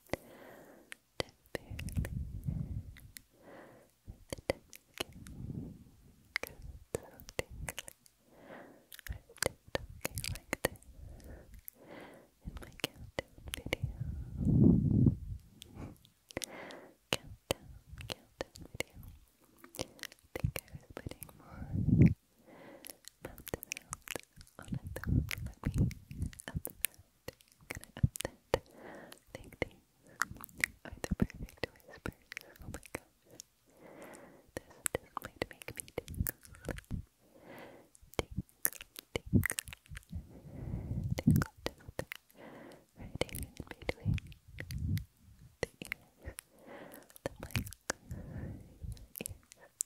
talking like this in my countdown video. countdown, countdown video. I think I was putting more up the round, on a me up the round, gonna up that. I think these are the perfect whispers. Oh my gosh. This just might make me tingle. Tingle, tingle. Tingle, tingle. Right here in between the ears, the mic, your ears.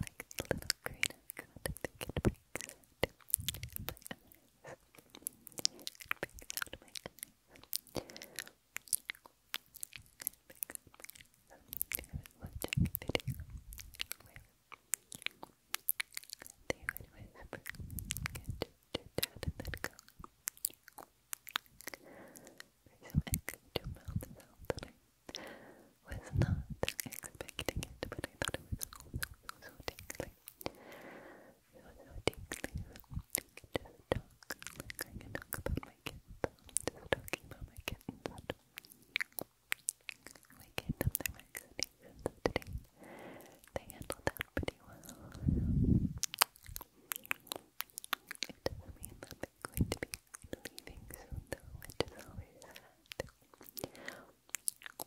like the little green icon that could bring out my eyes. Bring out my eyes. I was watching a video where they would whisper, get your dad and then go. There's some egg to melt, melt, and I was not expecting it, but I thought it was cool. So, so tingly. So, so tingly. Just talk like I can talk about my kittens. Just talking about my kittens. We gave them their vaccinations today. They handled that pretty well. It doesn't mean that they're going to be leaving soon, though, which is always sad. Sorry sad when they go,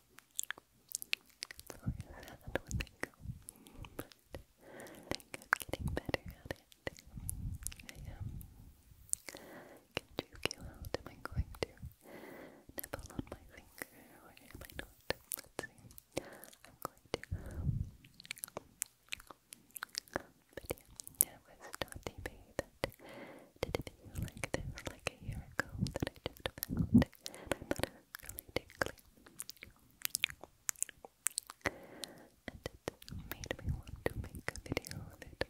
but I think I'm getting better at it. I am. can choose you out. Am I going to nibble on my finger or am I Let's see. I'm going to. Um, but yeah, was Dottie that did a video like this like a year ago that I just found and it made me want to make a video But this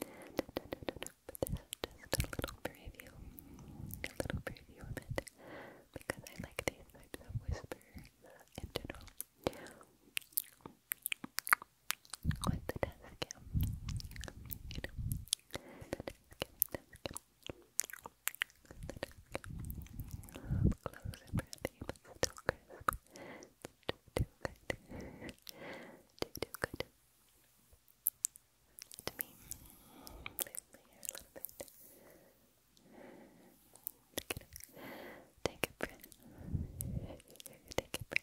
is just a little preview, a little preview of it because I like these types of whispers with the desk cam. You know, the desk cam, The desk cam. close and breathy, but still crisp. It's good. too, good. To me, move my hair a little bit. Take a breath. Take a breath.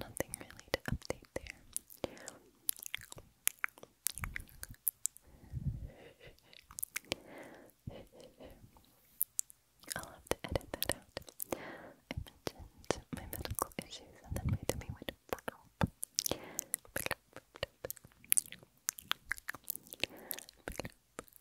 Nothing really to update there. I'll have to edit that out. my medical issues and then my tummy went pick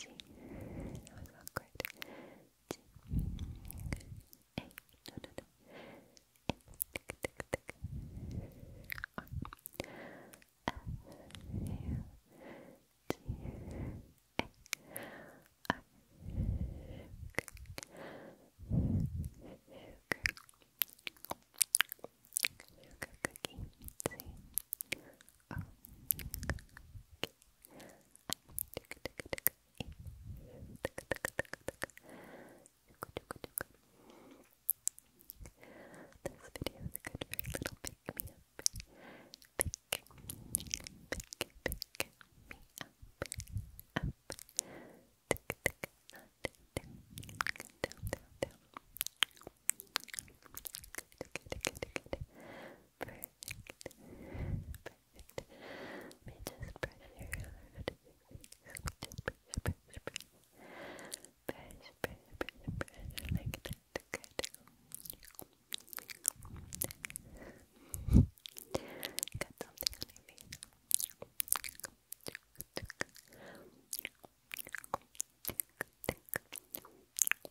G. That was awkward. G. A. No, no, no. A. Tick, tick, tick. R. F. U. G. A. R. Sugar. Sugar. Sugar cookie. C. O. K video is good for a little pick me up. Pick, pick, pick me up, up. Tick, tick, not down, down, down, down. Tick, tick, tick, tick. Perfect. Perfect. Let me just brush your hair out of your face. Just brush, brush, Like that. Good. Got something on your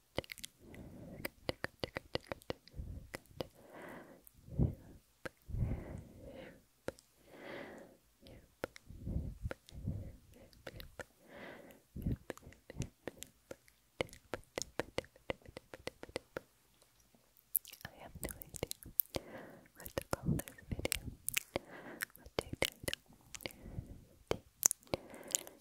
I have no what to call this video. What do you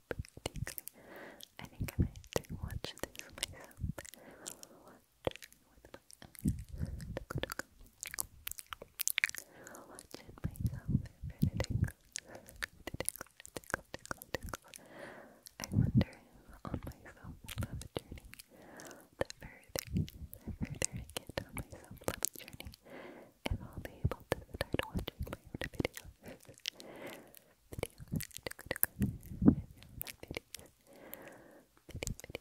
practically. I think I might watch this myself. Watch with watch it myself if Tickle, tickle, tickle, tickle. I wonder if on myself love journey, the further, the further I get on my love journey, if i able to start watching my own videos. Probably not, I probably won't be able to do,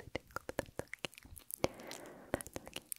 but that's okay. That's okay.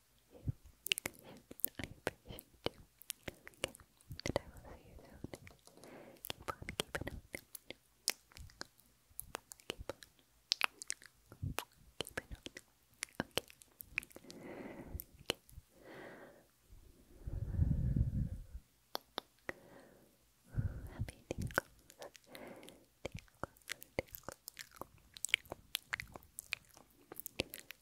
I appreciate you. Okay, and I will see you soon. Keep on keeping on. Keep on keeping on. Okay. Okay. Happy tingles. Tingles, tingles.